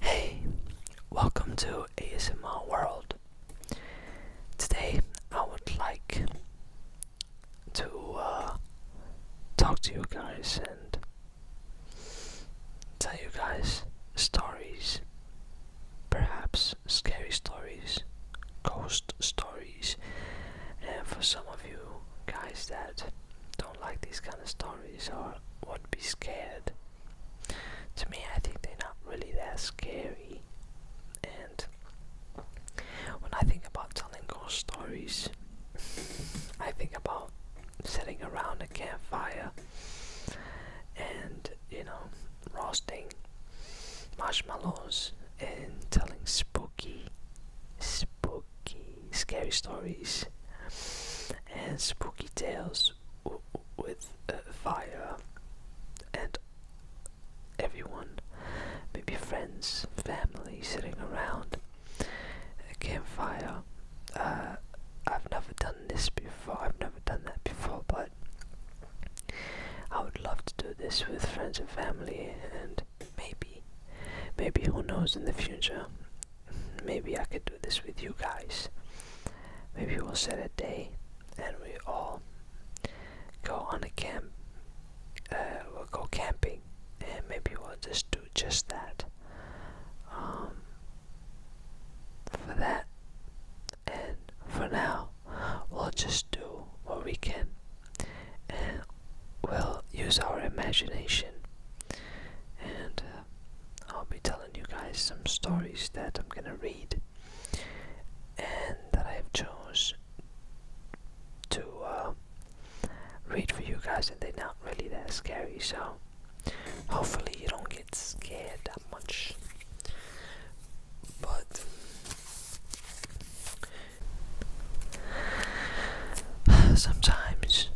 Hey, welcome to ASMR World. Today I would like to uh, talk to you guys and tell you guys stories, perhaps scary stories, ghost stories, and for some of you guys that don't like these kind of stories or would be scared. To me, I think they're not really that scary. And when I think about telling ghost stories, I think about sitting around a campfire and, you know, roasting marshmallows and telling spooky, spooky scary stories, and spooky tales with uh, fire, and everyone, maybe friends, family, sitting around a campfire. Uh, I've never done this before. I've never done that before, but I would love to do this with friends and family, and maybe, maybe who knows in the future maybe I could do this with you guys. Maybe we'll set a day and we all go on a camp. Uh, we'll go camping and maybe we'll just do just that. Um, for that, and for now, we'll just do what we can and we'll use our imagination and uh, I'll be telling you guys some stories that I'm gonna read and that I've chose to uh, read for you guys, and they're not really that scary, so hopefully you don't get scared that much. But Sometimes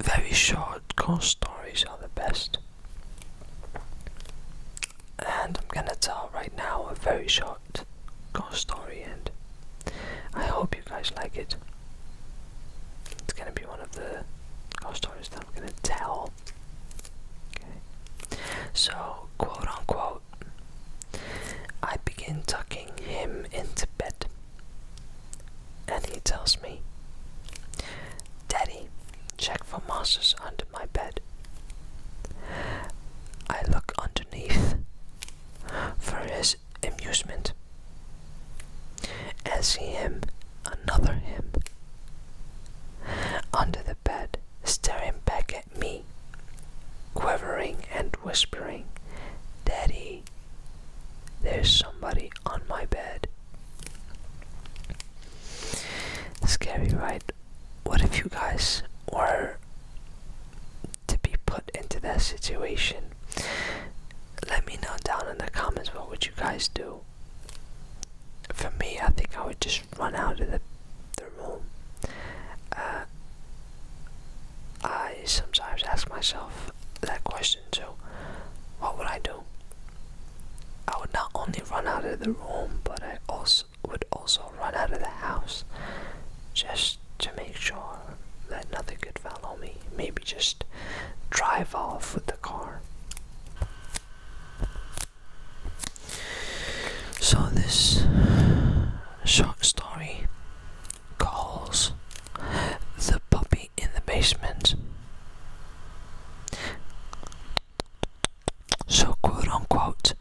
very short, ghost stories are the best. And I'm gonna tell right now a very short ghost story, and I hope you guys like it. It's gonna be one of the ghost stories that I'm gonna tell. Okay, so quote unquote I begin tucking him into bed. And he tells me, Daddy, check for monsters under my bed. I look underneath for his amusement and see him, another him, under the bed, staring back at me, quivering and whispering, Daddy, there's somebody on my bed. Scary, right? What if you guys were to be put into that situation? Let me know down in the comments what would you guys do. For me, I think I would just run out of the normal. Uh, I sometimes ask myself that question so, what would I do? I would not only run out of the room, but I also would also run out of the house just to make sure that nothing could follow me. Maybe just drive off with the car. So, this short story calls the puppy in the basement. So, quote unquote,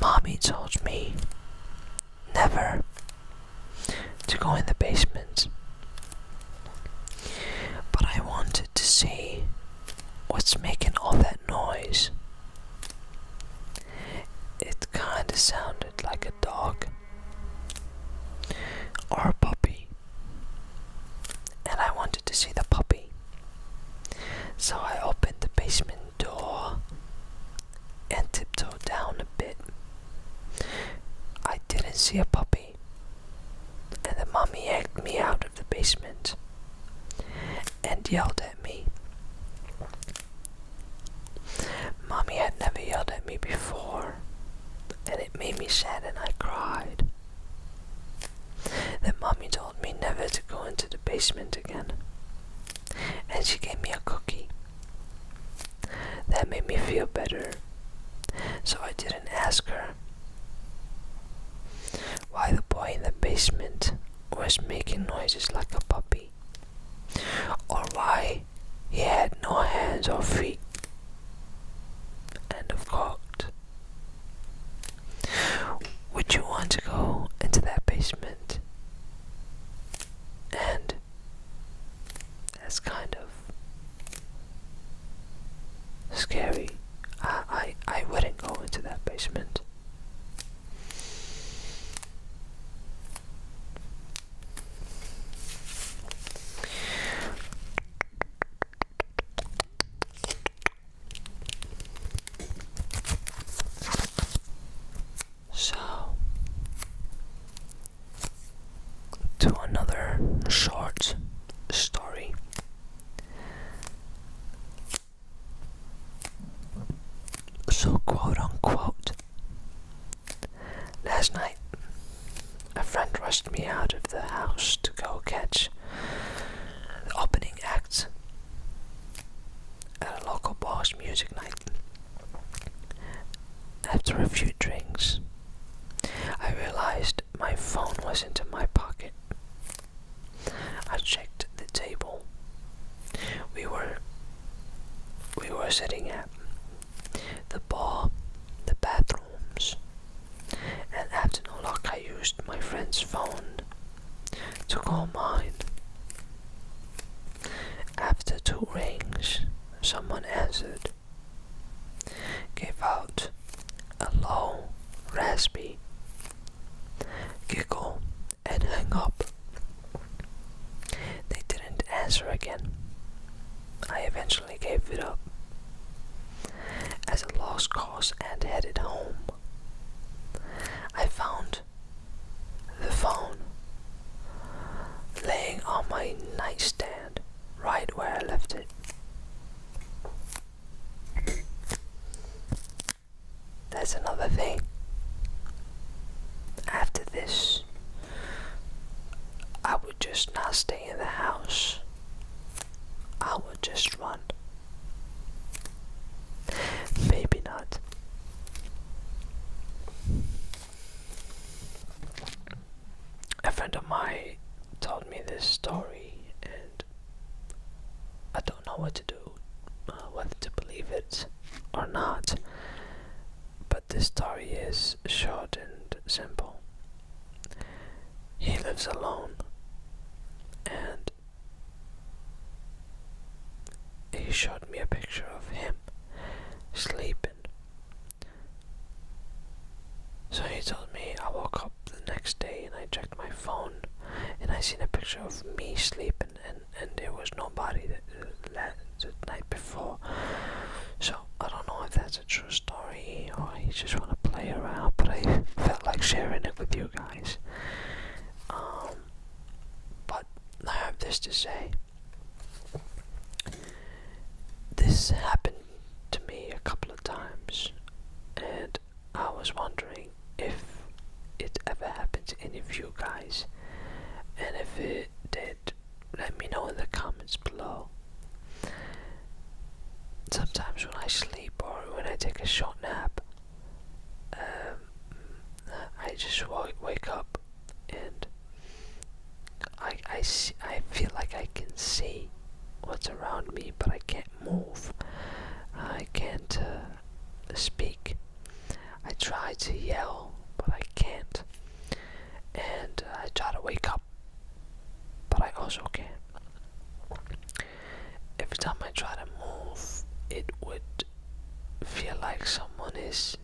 mommy told me never to go in the basement. But I wanted to see what's making all that noise. It kinda sounded like a dog or a puppy, and I wanted to see the puppy. So I opened the basement door and tiptoed down a bit. I didn't see a puppy, and the mummy egged me out of the basement and yelled at me Mommy had never yelled at me before, and it made me sad and I cried. Then Mommy told me never to go into the basement again, and she gave me a cookie. That made me feel better, so I didn't ask her why the boy in the basement was making noises like a puppy, or why he had no hands or feet. End of quote. Would you want to go into that basement? And that's kind of scary. I I, I wouldn't go into that basement. So, to another short story. So, quote unquote, last night a friend rushed me out of the house to go catch the opening act at a local bar's music night. After a few drinks, I realized my phone was into my pocket. I checked the table we were we were sitting at the bar, the bathrooms, and after no luck I used my friend's phone to call mine. After two rings, someone answered, gave out a low, raspy giggle, and hang up. They didn't answer again. I eventually gave it up as a lost cause and headed home. I found the phone laying on my nightstand right where I left it. That's another thing. After this, I would just not stay in the house. I would just run. Maybe not. A friend of mine told me this story, I don't know what to do, uh, whether to believe it or not. But this story is short and simple. He lives alone and he showed me a picture of him sleeping. So he told me I woke up the next day and I checked my phone and I seen a picture of me sleeping and, and there was nobody that, left the night before. So I don't know if that's a true story or he just want to play around, but I felt like sharing it with you guys. Um, but I have this to say. This happened to me a couple of times, and I was wondering if it ever happened to any of you guys, and if it did, let me know in the comments below. Sometimes when I sleep or when I take a short nap, um, I just wake up and I, I, see, I feel like I can see what's around me, but I can't move, I can't uh, speak. I try to yell, but I can't. And I try to wake up, but I also can't. Every time I try to move, it would feel like someone is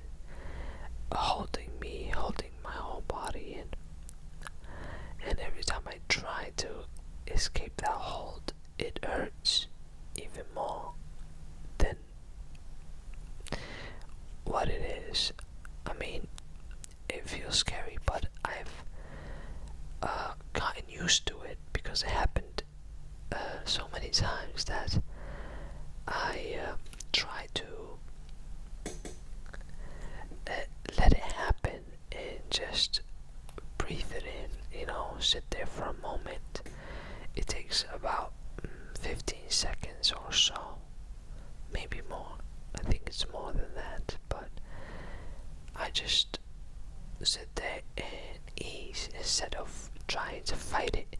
holding me, holding my whole body in. And every time I try to escape that hold, it hurts even more than what it is. I mean, it feels scary, but I've uh, gotten used to it because it happened uh, so many times that I uh, try to let it happen and just breathe it in, you know, sit there for a moment. It takes about mm, 15 seconds or so, maybe more. I think it's more than that, but I just sit there and ease instead of trying to fight it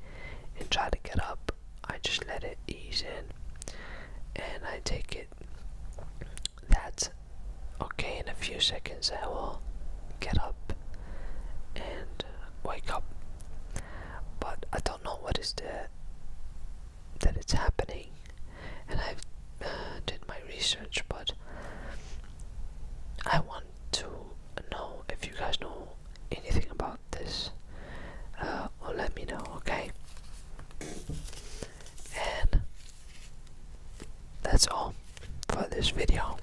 and try to get up. I just let it ease in and I take it that's okay in a few seconds I will get up and uh, wake up but I don't know what is the that it's happening and I've uh, did my research but I want to know if you guys know anything about this or uh, let me know okay and that's all for this video.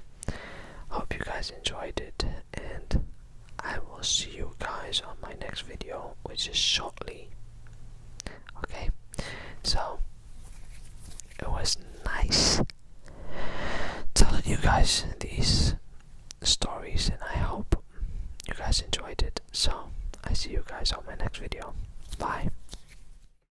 Hope you guys enjoyed it, and I will see you guys on my next video, which is shortly. Okay, so it was nice telling you guys these stories, and I hope you guys enjoyed it. So, I see you guys on my next video. Bye.